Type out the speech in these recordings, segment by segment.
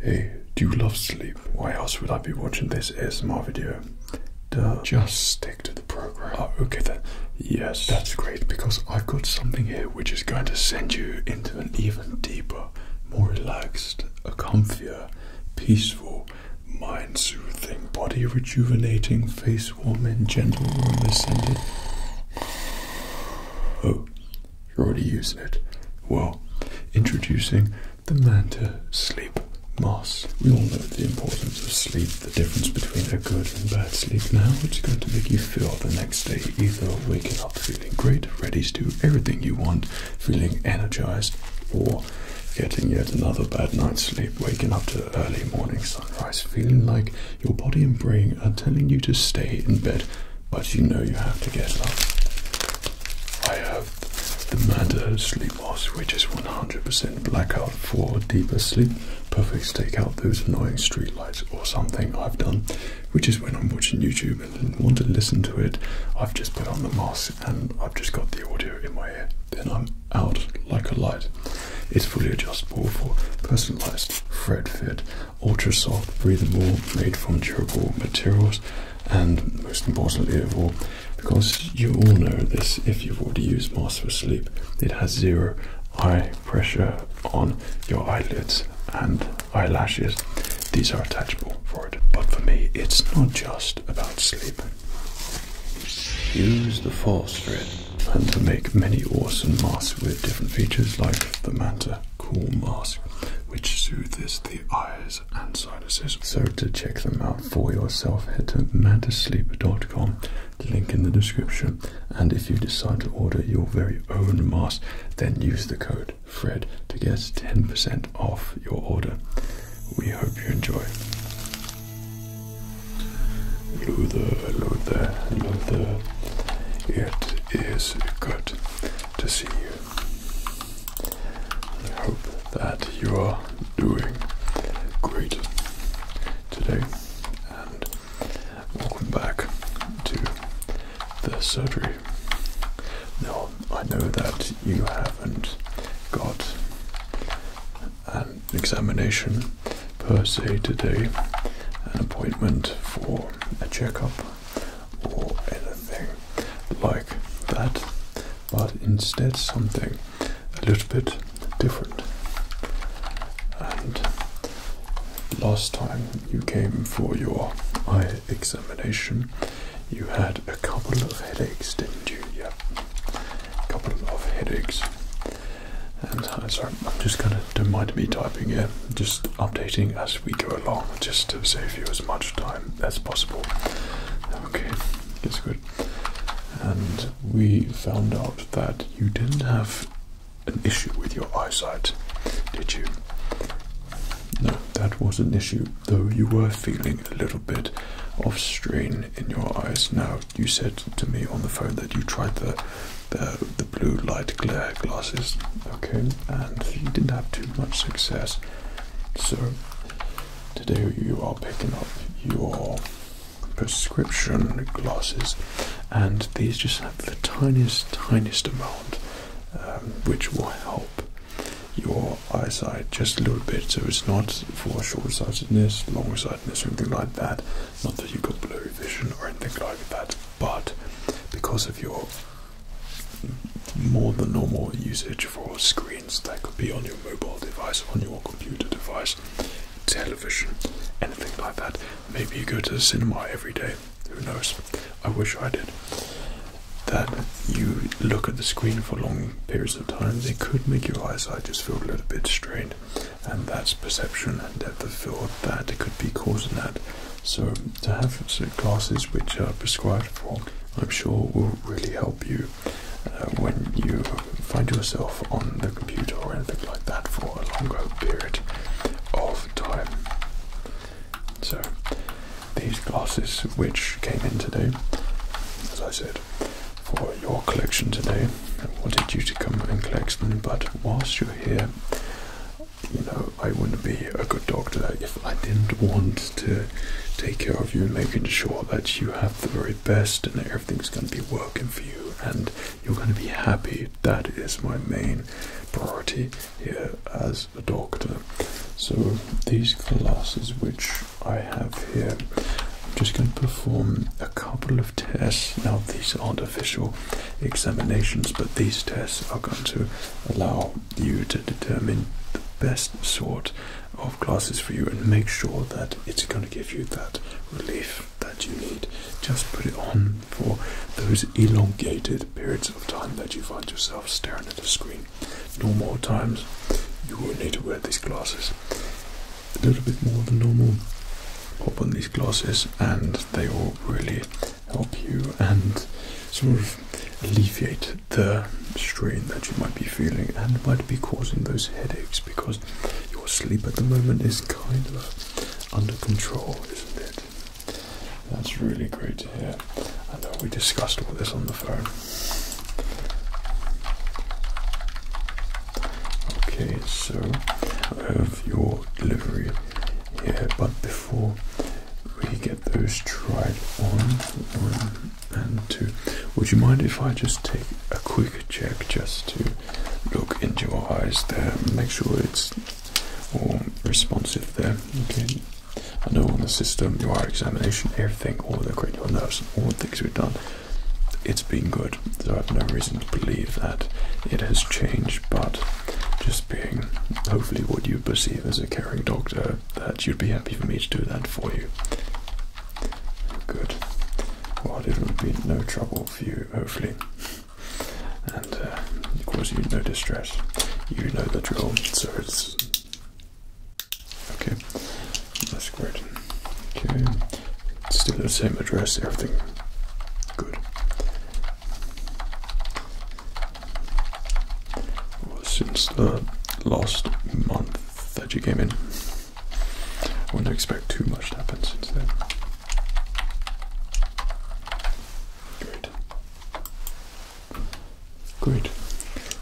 Hey, do you love sleep? Why else would I be watching this ASMR video? Duh. Just stick to the program. Oh, okay then. Yes. That's great because I've got something here which is going to send you into an even deeper, more relaxed, a comfier, peaceful, mind soothing, body rejuvenating, face warming, gentle, room ascended. Oh, you're already using it. Well, introducing the Manta Sleep Moss. We all know the importance of sleep, the difference between a good and bad sleep. Now it's going to make you feel the next day either waking up feeling great, ready to do everything you want, feeling energized, or getting yet another bad night's sleep, waking up to early morning sunrise, feeling like your body and brain are telling you to stay in bed, but you know you have to get up. I have the Manta Sleep Mask, which is 100% blackout for deeper sleep. Perfect to take out those annoying street lights or something I've done, which is when I'm watching YouTube and want to listen to it. I've just put on the mask and I've just got the audio in my ear. Then I'm out like a light. It's fully adjustable for personalized thread fit ultra soft, breathable, made from durable materials, and most importantly of all, because you all know this if you've already used masks for Sleep, it has zero eye pressure on your eyelids and eyelashes. These are attachable for it. But for me, it's not just about sleep. Use the false thread and to make many awesome masks with different features like the manta cool mask which soothes the eyes and sinuses. So to check them out for yourself, head to mantasleep.com, link in the description. And if you decide to order your very own mask, then use the code FRED to get 10% off your order. We hope you enjoy. Luther, Luther, Luther. It is good to see you. I hope that you are doing great today and welcome back to the surgery. Now, I know that you haven't got an examination per se today, an appointment for a checkup or anything like that, but instead something a little bit different. And last time you came for your eye examination, you had a couple of headaches, didn't you? Yeah, a couple of headaches. And uh, sorry, I'm just gonna don't mind me typing here, just updating as we go along just to save you as much time as possible. Okay, it's good. And we found out that you didn't have an issue with your eyesight, did you? No, that was an issue, though you were feeling a little bit of strain in your eyes. Now, you said to me on the phone that you tried the the, the blue light glare glasses, okay, and you didn't have too much success. So, today you are picking up your prescription glasses, and these just have the tiniest, tiniest amount, um, which will help your eyesight just a little bit. So, it's not for short sightedness, long sightedness, or anything like that. Not that you've got blurry vision or anything like that, but because of your more than normal usage for screens that could be on your mobile device, on your computer device, television, anything like that. Maybe you go to the cinema every day, who knows? I wish I did. That you look at the screen for long periods of time, it could make your eyesight just feel a little bit strained, and that's perception and depth of thought that it could be causing that. So, to have so classes which are prescribed for, I'm sure will really help you uh, when you find yourself on the computer or anything like that for a longer period of time. So, these glasses which came in today, as I said, for your collection today, I wanted you to come and collect them, but whilst you're here, you know, I wouldn't be a good doctor if I didn't want to take care of you, making sure that you have the very best and everything's going to be working for you and you're going to be happy. That is my main priority here as a doctor. So, these glasses which I have here, I'm just going to perform a couple of tests. Now, these aren't official examinations, but these tests are going to allow you to determine the best sort of glasses for you and make sure that it's going to give you that relief that you need. Just put it on for those elongated periods of time that you find yourself staring at the screen. Normal times, you will not need to wear these glasses a little bit more than normal. Pop on these glasses, and they will really help you and sort of alleviate the strain that you might be feeling and might be causing those headaches because your sleep at the moment is kind of under control, isn't it? That's really great to hear. I know we discussed all this on the phone. Okay, so I have your delivery here, but before we get those tried on, one and two. Would you mind if I just take a quick check just to look into your eyes there, make sure it's all responsive there? Okay. I know on the system, your eye examination, everything, all the cranial nerves, all the things we've done, it's been good. So I have no reason to believe that it has changed, but just being hopefully what you perceive as a caring doctor that you'd be happy for me to do that for you. Good. Well, it would be no trouble for you, hopefully. And uh, of course, you no distress. You know the drill, so it's okay. That's great. Okay, still the same address, everything good since the last month that you came in. I wouldn't expect too much to happen since then. Great. Great.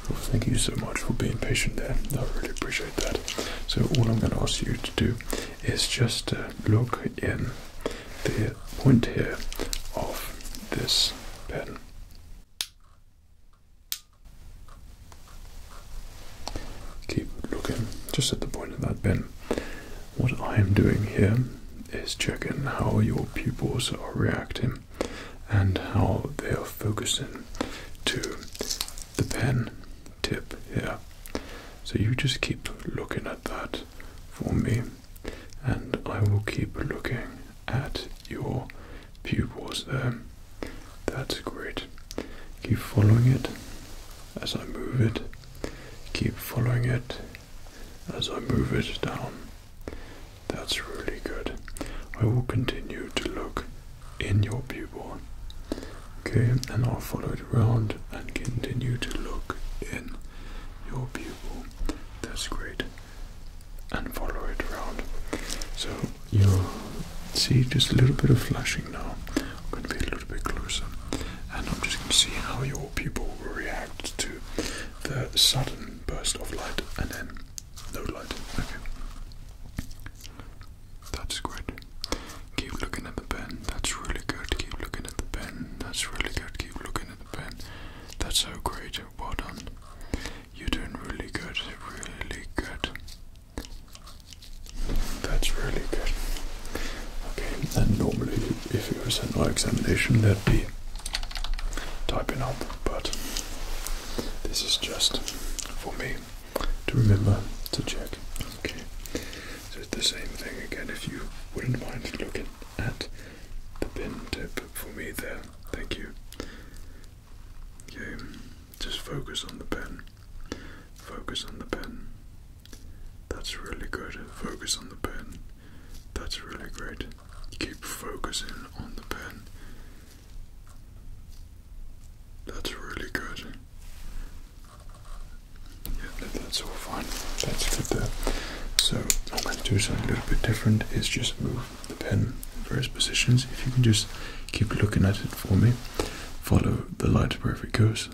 Well, thank you so much for being patient there. I really appreciate that. So, all I'm going to ask you to do is just uh, look in the point here of this pen. Keep looking just at the point of that pen. What I am doing here is checking how your pupils are reacting and how they are focusing to the pen tip here. So you just keep looking at that for me, and I will keep looking at your pupil, there. That's great. Keep following it as I move it. Keep following it as I move it down. That's really good. I will continue to look in your pupil. Okay, and I'll follow it around and continue to look in your pupil. That's great and follow it around. So you see just a little bit of flashing now. I'm going to be a little bit closer, and I'm just going to see how your pupil will react to the sudden burst of light and then no light. Okay. That's great. Keep looking at the pen. That's really good. Keep looking at the pen. That's really good. Keep looking at the pen. That's so great. Good, You're doing really good, really good. That's really good. Okay, and normally if it was an eye examination, there would be typing up, but this is just for me to remember to check. Okay, so it's the same thing again if you wouldn't mind looking at the pen tip for me there. Thank you. Okay, just focus on the pen. Focus on the pen. That's really good. Focus on the pen. That's really great. Keep focusing on the pen. That's really good. Yeah, that's all fine. That's good there. So, I'm going to do something a little bit different is just move the pen in various positions. If you can just keep looking at it for me, follow the light wherever it goes.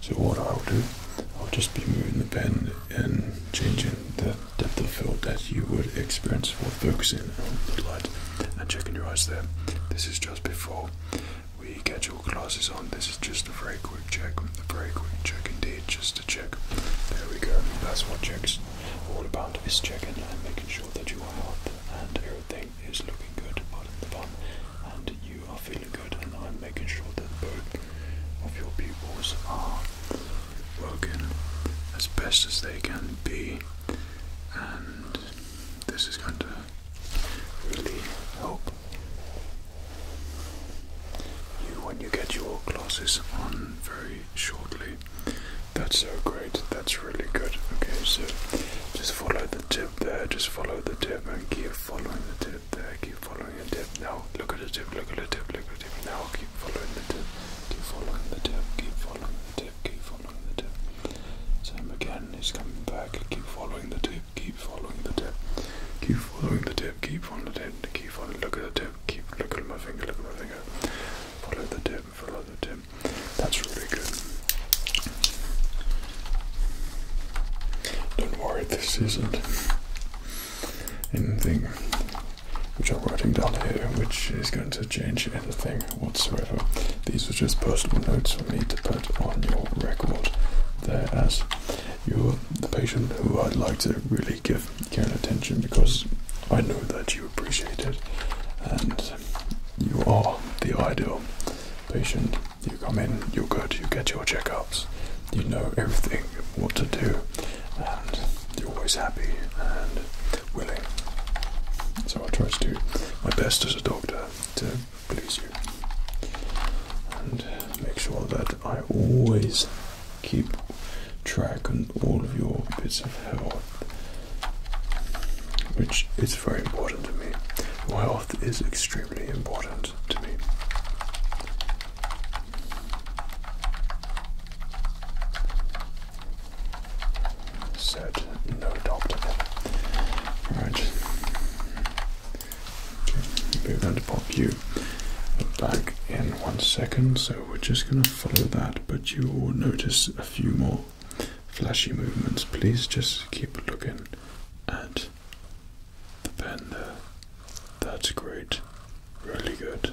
So what I'll do, I'll just be moving the pen and changing the depth of field that you would experience for focusing on the light and checking your eyes there. This is just before we get your glasses on. This is just just a very quick check. A very quick check indeed. Just a check. There we go. That's what checks all about is checking and making sure that you are out and everything is looking good, pardon the and you are feeling good and I'm making sure that both of your pupils are working as best as they can be and this is going to really help you when you get your glasses on very shortly. That's so great, that's really good. Okay, so just follow the tip there, just follow the tip and keep following the tip there, keep following the tip. Now look at the tip, look at the tip, look at the tip. Now keep following the tip, keep following the tip, keep following the tip, keep following the tip. Sam again is coming back, keep following the tip, keep following the tip, keep following the tip, keep following the tip, keep following, look at the tip. Keep looking at my finger, look at my finger. Follow the tip, follow the tip. That's really good. Don't worry, this isn't anything which I'm writing down here, which is going to change anything whatsoever. These are just personal notes for me to put on your record there as you the patient who I'd like to really give care and attention because I know that you appreciate it and you are the ideal patient. You come in, you're good, you get your checkups, you know everything, what to do, and you're always happy and willing. So I try to do my best as a doctor to please you and make sure that I always keep track on all of your bits of health, which is very important to me. health is extremely important to me. Said no doctor. Right. Okay, we to pop back in one second. So we're just going to follow that, but you will notice a few more flashy movements. Please just keep looking at the pen there. That's great. Really good.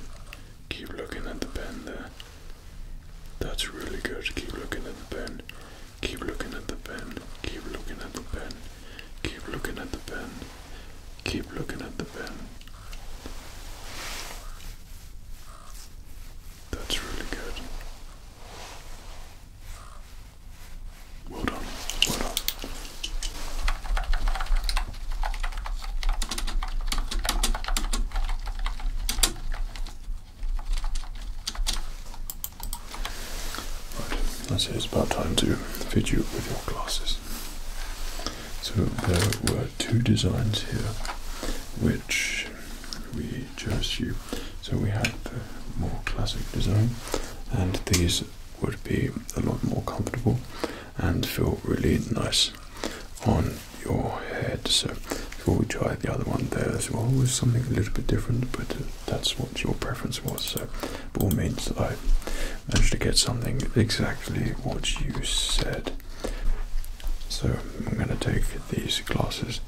Keep looking at the pen there. That's really good. Keep looking at the pen. Keep looking at the pen. Keep looking at the pen. Keep looking at the pen. Keep looking at the pen. That's really good. Well done. Well done. Right, that's it. It's about time to fit you with your glasses. So there were two designs here which we chose you. So we had the more classic design and these would be a lot more comfortable and feel really nice on your head. So before we tried the other one there as well was something a little bit different but that's what your preference was so by all means, I managed to get something exactly what you said. So I'm going to take these glasses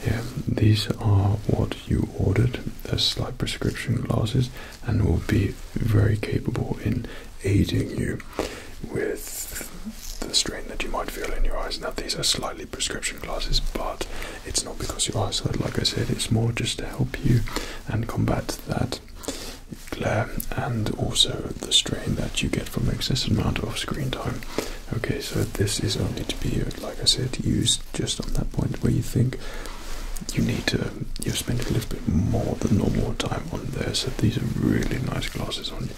here. These are what you ordered. They're slight prescription glasses and will be very capable in aiding you with the strain that you might feel in your eyes. Now, these are slightly prescription glasses, but it's not because your eyes are like I said, it's more just to help you and combat that glare and also the strain that you get from excessive amount of screen time. Okay, so this is only to be, like I said, used just on that point where you think you need to you spend a little bit more than normal time on there. So these are really nice glasses on you.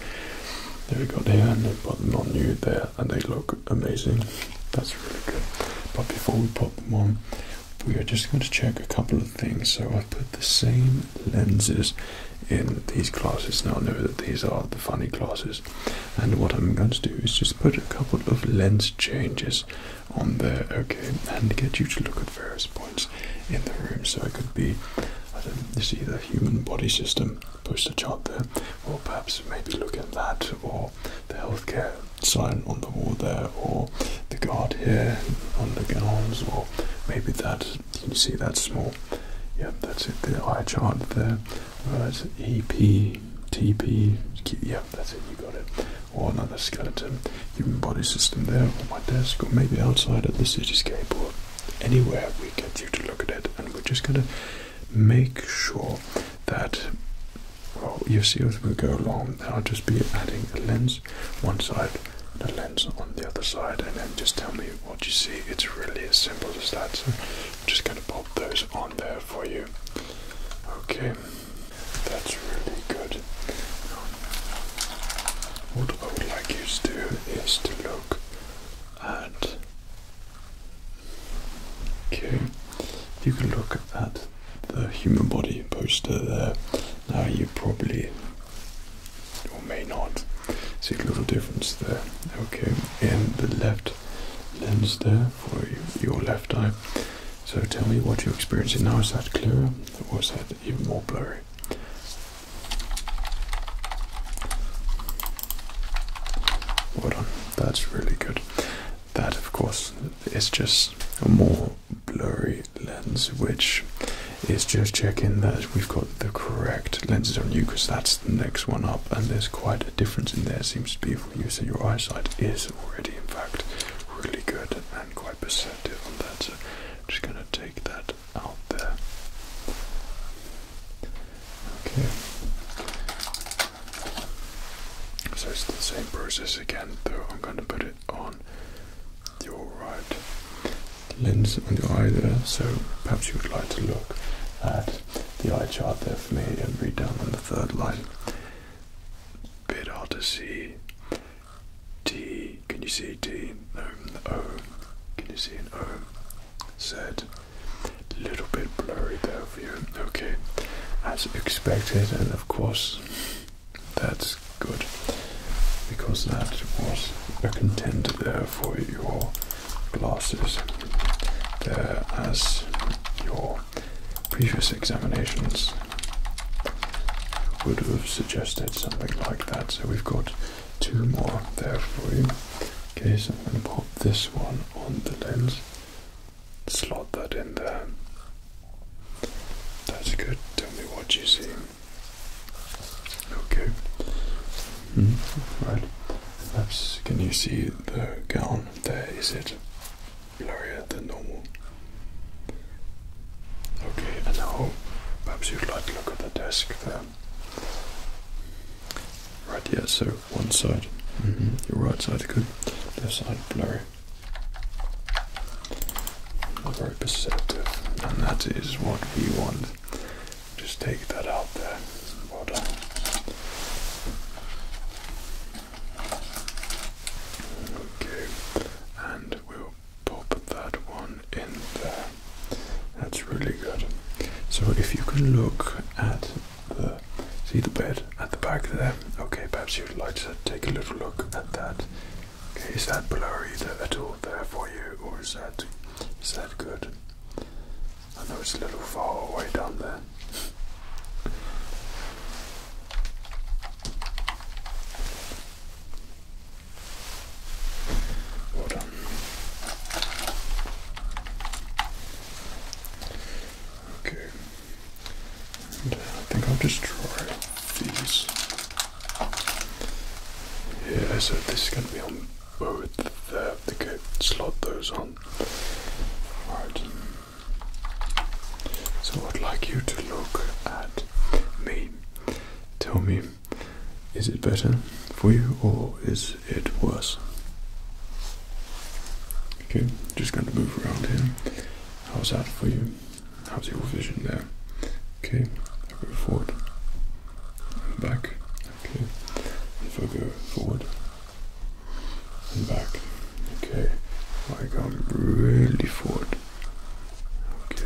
They've got here and they've got them on you there, and they look amazing. That's really good. But before we pop them on, we are just going to check a couple of things. So I put the same lenses in these glasses. Now I know that these are the funny glasses, and what I'm going to do is just put a couple of lens changes on there, okay, and get you to look at various points in the room. So it could be, I don't see the human body system poster chart there, or perhaps maybe look at that, or the healthcare sign on the wall there, or the guard here on the arms, or maybe that. Can you see that small? Yeah, that's it. The eye chart there. Right, EP, TP. Yep, that's it. You got it. Or another skeleton, human body system there on my desk, or maybe outside at the cityscape, or anywhere we get you to look at it. And we're just gonna make sure that. Well, you see as we go along, I'll just be adding a lens one side the lens on the other side and then just tell me what you see. It's really as simple as that. So I'm just going to pop those on there for you. Okay, that's really good. What I would like you to do is to look at. Okay, you can look at the human body poster there now you probably or may not see a little difference there. Okay, in the left lens there for your left eye. So tell me what you're experiencing now. Is that clearer or is that even more blurry? Well done. That's really good. That, of course, is just a more blurry lens, which is just checking that we've got the correct lenses on you because that's the next one up, and there's quite a difference in there, seems to be for you. So, your eyesight is already, in fact, really good and quite perceptive on that. So, I'm just going to take that out there. Okay. So it's the same process again, though I'm going to put it on your right lens on your eye there, so perhaps you would like to look at the eye chart there for me and read down on the third line. Bit hard to see. T, can you see T? No, O, can you see an O? Z, little bit blurry there for you. Okay, as expected, and of course, that's good. Because that was a contender there for your glasses. There, as your previous examinations would have suggested something like that. So we've got two more there for you. Okay, so I'm going to pop this one on the lens, slot that in there. That's good. Tell me what you see. Okay. Hmm, right. Perhaps can you see the gown there? Is it blurrier than normal? Okay, and now perhaps you'd like to look at the desk there. Right, yeah, so one side, mm-hmm, your right side good, left side blurry are very perceptive, and that is what we want. Just take that out there. Well done. Okay, and we'll pop that one in there. That's really good. So if you can look at the see the bed at the back there. Okay, perhaps you'd like to take a little look at that. Is that blurry at all? there for you, or is that is that good? I know it's a little far away down there. Well done. Okay. Uh, I think I'll just try these. Yeah, so this is going to be on both there. They could slot those on. Right. So I'd like you to look at me. Tell me, is it better for you or is it worse? Okay, just going to move around here. How's that for you? How's your vision there? Okay, I'll go forward and back. Okay, if I go forward and back. Okay, I come really forward. Okay.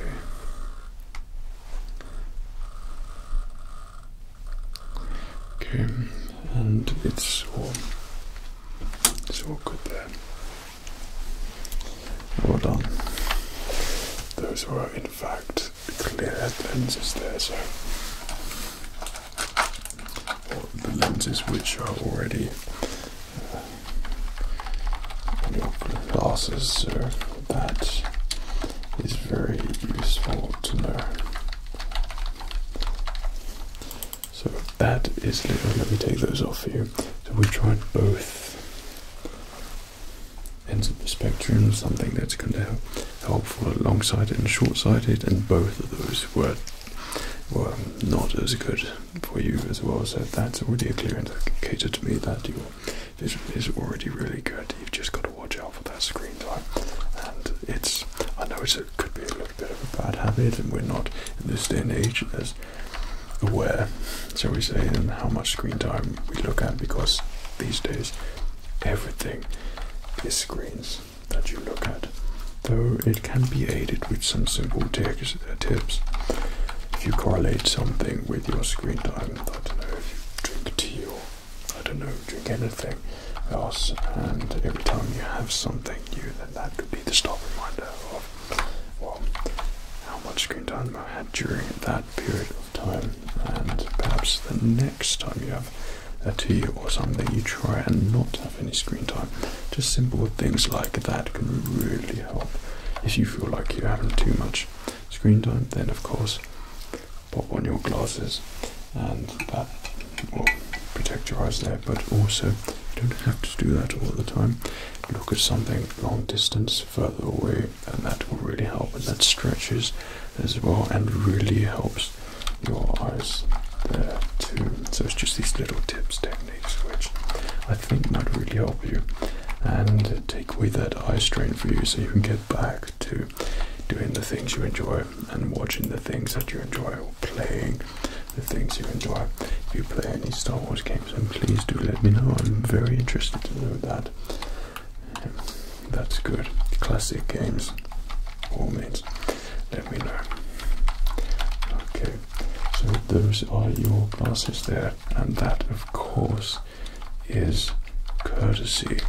Okay, and it's all, it's all good there. Well done. Those were, in fact, clear lenses there, so. the lenses which are already uh, your glasses, so that is very useful to know. So that is. Let me take those off for you. So we tried both ends of the spectrum, something that's going to help for long-sighted and short-sighted, and both of those were were not as good for you as well. So that's already a clear indicator to me that your vision is already really good. You've just got to watch out for that screen time, and it's I know it could be a little bit of a bad habit, and we're not in this day and age aware, shall we say, and how much screen time we look at because these days everything is screens that you look at. Though it can be aided with some simple uh, tips. If you correlate something with your screen time, I don't know if you drink tea or I don't know, drink anything else, and every time you have something new, then that could be the stop reminder of well, how much screen time I had during that period of time and perhaps the next time you have a tea or something you try and not have any screen time just simple things like that can really help if you feel like you're having too much screen time then of course pop on your glasses and that will protect your eyes there but also don't have to do that all the time look at something long distance further away and that will really help and that stretches as well and really helps your eyes there too. So it's just these little tips techniques which I think might really help you and take away that eye strain for you so you can get back to doing the things you enjoy and watching the things that you enjoy or playing the things you enjoy. If you play any Star Wars games then please do let me know. I'm very interested to know that that's good. Classic games, all means. Let me know. Okay, so those are your glasses there, and that, of course, is courtesy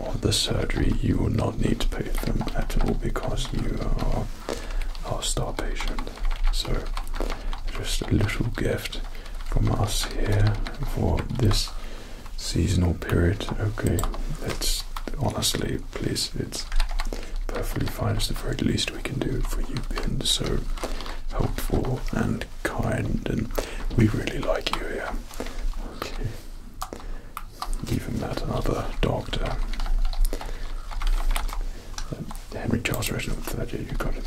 of the surgery. You will not need to pay for them at all because you are our star patient. So, just a little gift from us here for this seasonal period. Okay, that's honestly, please, it's perfectly fine. It's the very least we can do for you. Ben. so helpful and kind, and we really like you here. Okay, even that other doctor. Henry Charles Reginald Thatcher, you got it.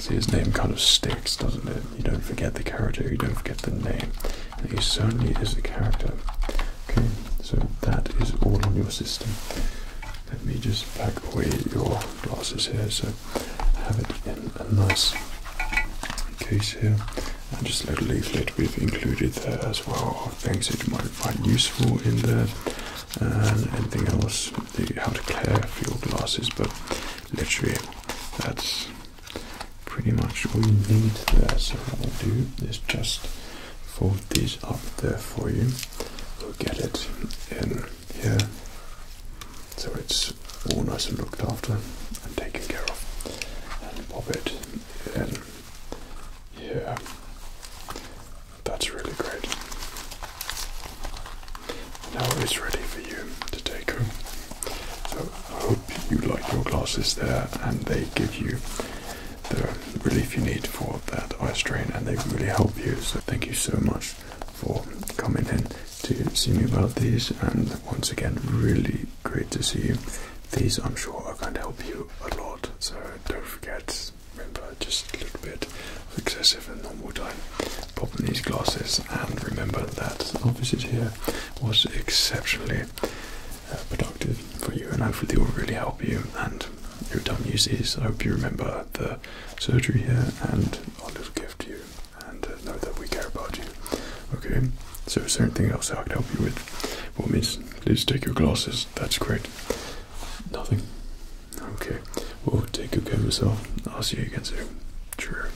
See, his name kind of sticks, doesn't it? You don't forget the character, you don't forget the name. And he certainly is a character. Okay, so that is all on your system. Let me just pack away your glasses here so have it in a nice case here. And just a little leaflet we've included there as well of things that you might find useful in there and anything else, the, how to care for your glasses, but literally that's pretty much all you need there. So I'll do is just fold these up there for you. We'll get it in here so it's all nice and looked after and taken care of. And pop it in here. That's really great. Now it's ready for you to take home. So I hope you like your glasses there and they give you the relief you need for that eye strain and they really help you. So thank you so much for coming in to see me about these and once again really great to see you. These I'm sure are going to help you a lot so don't forget just remember just a little bit of excessive and normal time. Pop in these glasses and remember that the office here was exceptionally uh, productive for you and hopefully it will really help you and every time you use these I hope you remember the surgery here and I'll just give to you and uh, know that we care about you. Okay, so is there anything else I can help you with? Well, miss, please take your glasses. That's great. Nothing. Okay, we'll take good care of yourself. I'll see you again soon. Sure.